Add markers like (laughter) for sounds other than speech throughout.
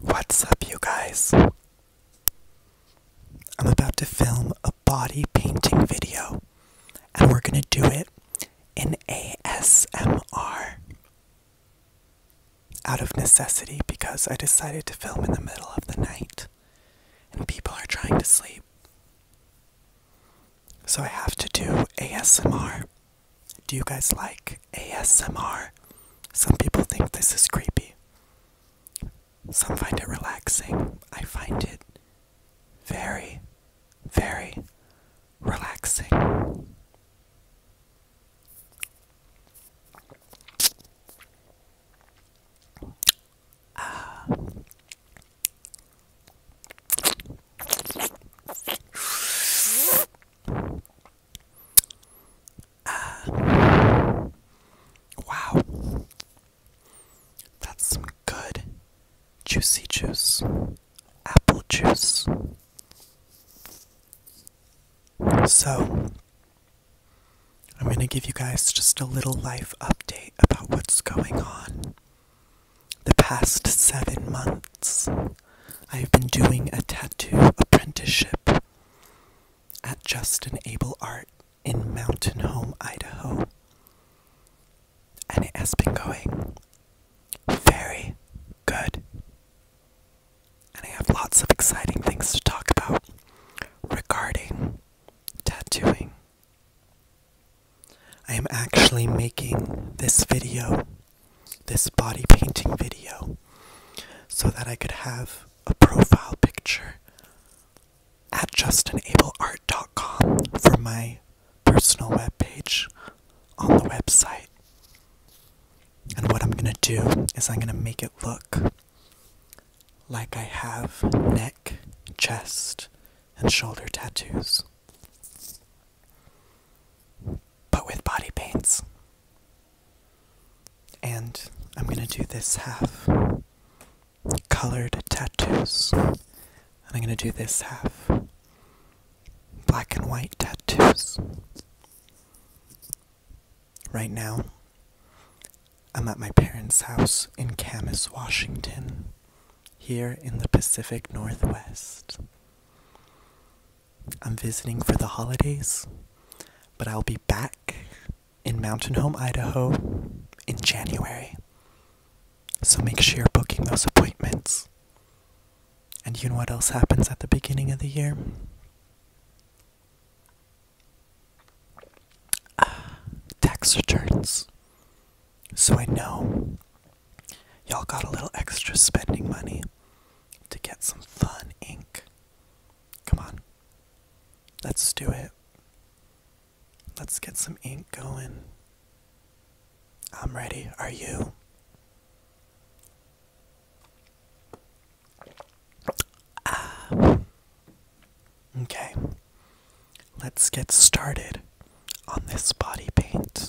What's up, you guys? I'm about to film a body painting video, and we're gonna do it in ASMR out of necessity because I decided to film in the middle of the night and people are trying to sleep. So I have to do ASMR. Do you guys like ASMR? Some people think this is creepy. Some find it relaxing. I find it very, very relaxing. Uh, uh, wow. That's some good juicy juice. Apple juice. So, I'm going to give you guys just a little life update about what's going on the past seven months, I have been doing a tattoo apprenticeship at Justin Able Art in Mountain Home, Idaho. And it has been going very good. And I have lots of exciting things to talk about regarding tattooing. I am actually making this video this body painting video so that I could have a profile picture at justinableart.com for my personal webpage on the website. And what I'm gonna do is I'm gonna make it look like I have neck, chest, and shoulder tattoos but with body paints. And I'm gonna do this half colored tattoos, and I'm gonna do this half black and white tattoos. Right now, I'm at my parents' house in Camas, Washington, here in the Pacific Northwest. I'm visiting for the holidays, but I'll be back in Mountain Home, Idaho in January. So make sure you're booking those appointments. And you know what else happens at the beginning of the year? Ah, tax returns. So I know y'all got a little extra spending money to get some fun ink. Come on. Let's do it. Let's get some ink going. I'm ready. Are you? Ah. Okay. Let's get started on this body paint.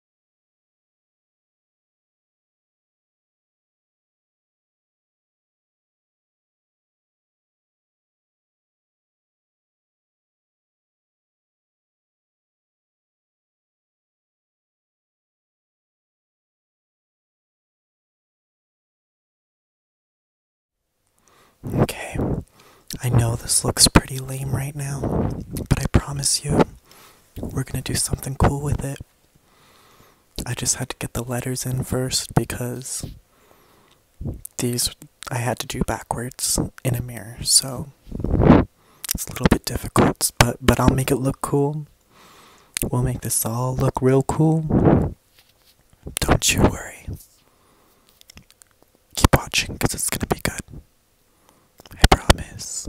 Okay, I know this looks pretty lame right now, but I promise you, we're gonna do something cool with it. I just had to get the letters in first because these I had to do backwards in a mirror, so it's a little bit difficult, but but I'll make it look cool. We'll make this all look real cool. Don't you worry. Keep watching cuz it's going to be good. I promise.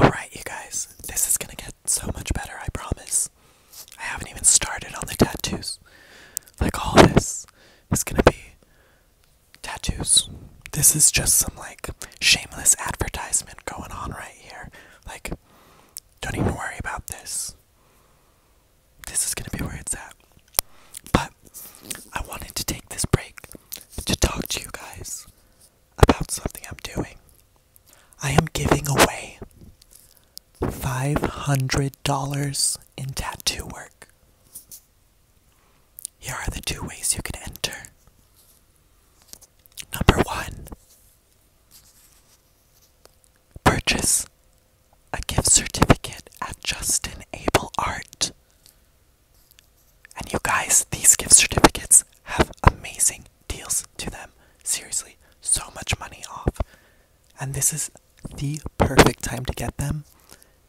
Alright, you guys, this is gonna get so much better, I promise. I haven't even started on the tattoos. Like, all this is gonna be tattoos. This is just some, like, shameless advertisement going on right here. Like, don't even worry about this. This is gonna be where it's at. But I wanted to take this break to talk to you guys about something I'm doing. I am giving away $500 in tattoo work. Here are the two ways you can enter. Number one, Purchase a gift certificate at Justin Able Art. And you guys, these gift certificates have amazing deals to them. Seriously, so much money off. And this is the perfect time to get them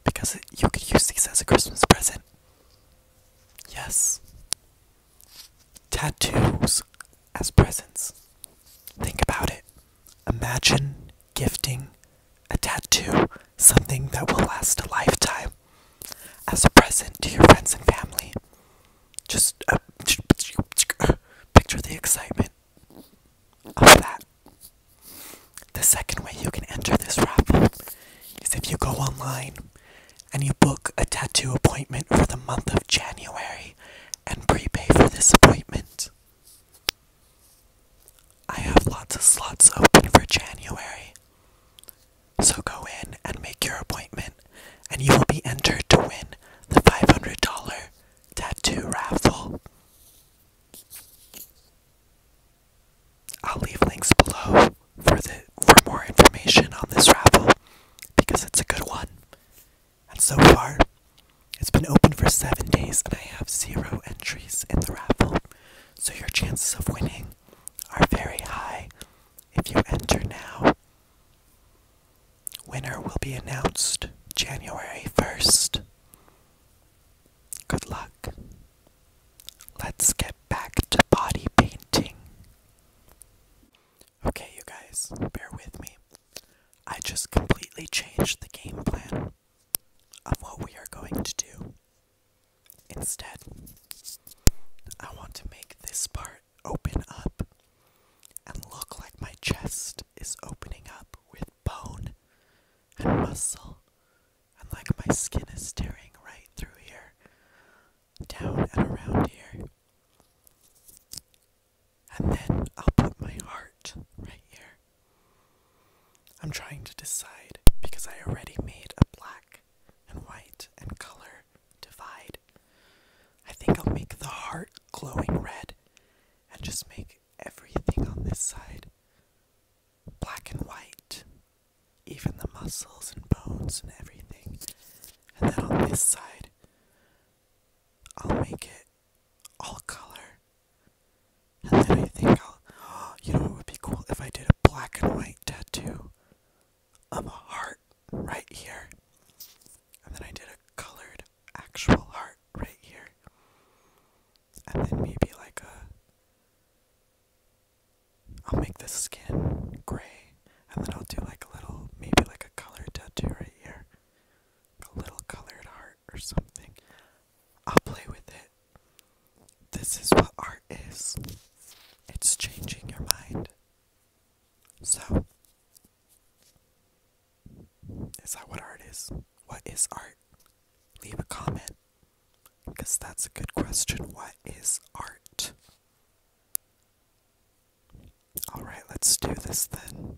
because you could use these as a Christmas present. Yes. Tattoos as presents. Think about it. Imagine gifting a tattoo, something that will last a lifetime, as a present to your friends and family. Just uh, picture the excitement of that. The second way you can enter this raffle is if you go online and you book a tattoo appointment for the month of January and prepay for this appointment. I have lots of slots open for January. So go in and make your appointment, and you will be entered to win the $500 tattoo raffle. I'll leave links below for the for more information on this raffle because it's a good one. And so far, it's been open for seven days and I have zero entries in the raffle. So your chances of winning are very high if you enter now. Winner will be announced January 1st. Good luck. Let's get back to body painting. Okay, you guys, bear with me. I just completely changed the game plan of what we are going to do. Instead, I want to make this part open up and look like my chest is opening up with bone and muscle, and like my skin is tearing right through here, down and around here. And then I'll put my heart right here. I'm trying to decide because I already made a black and white and color divide. I think I'll make the heart glowing red and just make everything on this side black and white, even the muscles and bones and everything. And then on this side, I'll make it all color. And then I think I'll. (gasps) you know, it would be cool if I did a black and white tattoo of a heart right here. And then I did a colored actual heart right here. And then maybe like a. I'll make the skin gray. And then I'll do like a little, maybe like a color tattoo right here a little colored heart or something. I'll play with it. This is what art is. It's changing your mind. So, is that what art is? What is art? Leave a comment. Because that's a good question. What is art? Alright, let's do this then.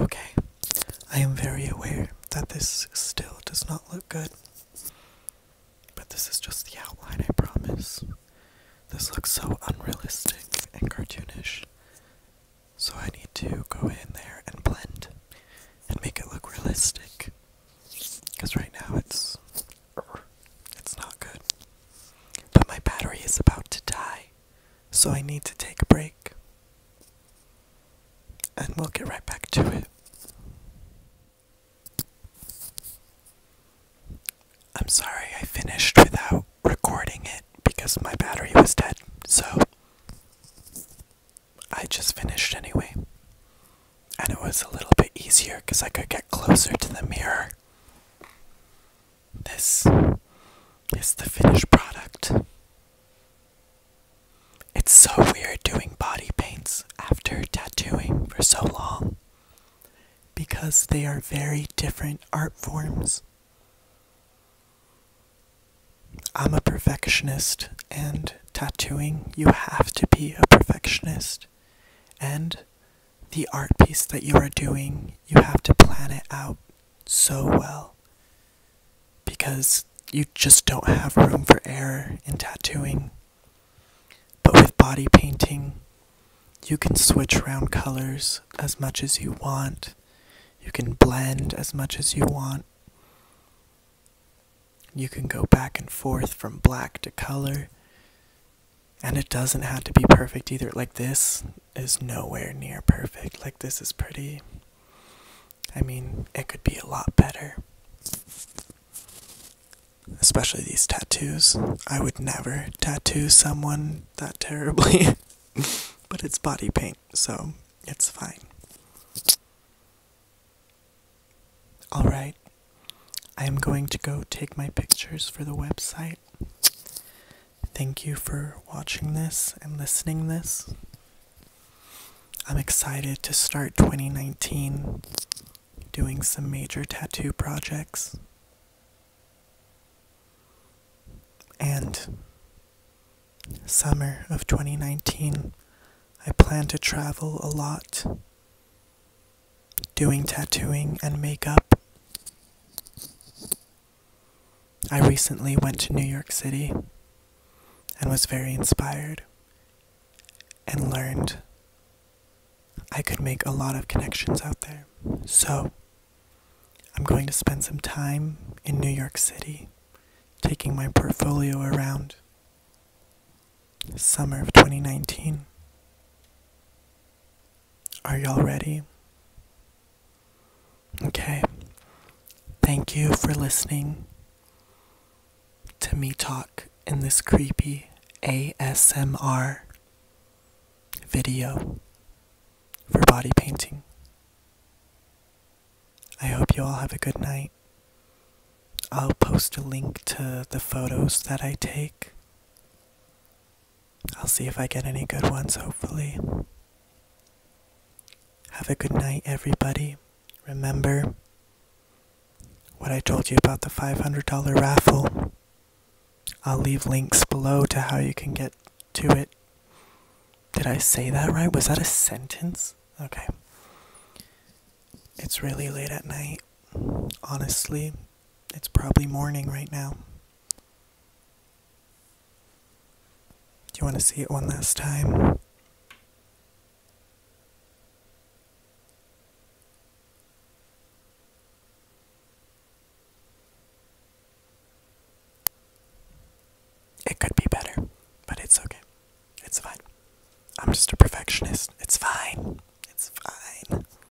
Okay, I am very aware that this still does not look good, but this is just the outline, I promise. This looks so unrealistic and cartoonish, so I need to go in there and blend and make it look realistic, because right now it's, it's not good. But my battery is about to die so I need to take a break. And we'll get right back to it. I'm sorry I finished without recording it because my battery was dead, so I just finished anyway. And it was a little bit easier because I could get closer to the mirror. This is the finished product. It's so weird doing body paints after tattooing for so long because they are very different art forms. I'm a perfectionist, and tattooing, you have to be a perfectionist. And the art piece that you are doing, you have to plan it out so well because you just don't have room for error in tattooing. But with body painting, you can switch around colors as much as you want. You can blend as much as you want. You can go back and forth from black to color. And it doesn't have to be perfect either. Like, this is nowhere near perfect. Like, this is pretty. I mean, it could be a lot better. Especially these tattoos. I would never tattoo someone that terribly. (laughs) but it's body paint, so it's fine. Alright, I am going to go take my pictures for the website. Thank you for watching this and listening this. I'm excited to start 2019 doing some major tattoo projects. And summer of 2019, I plan to travel a lot doing tattooing and makeup. I recently went to New York City and was very inspired and learned I could make a lot of connections out there. So, I'm going to spend some time in New York City taking my portfolio around summer of 2019. Are y'all ready? Okay. Thank you for listening to me talk in this creepy ASMR video for body painting. I hope you all have a good night. I'll post a link to the photos that I take I'll see if I get any good ones, hopefully. Have a good night, everybody. Remember what I told you about the $500 raffle. I'll leave links below to how you can get to it. Did I say that right? Was that a sentence? Okay. It's really late at night. Honestly, it's probably morning right now. Do you want to see it one last time? It could be better, but it's okay. It's fine. I'm just a perfectionist. It's fine. It's fine.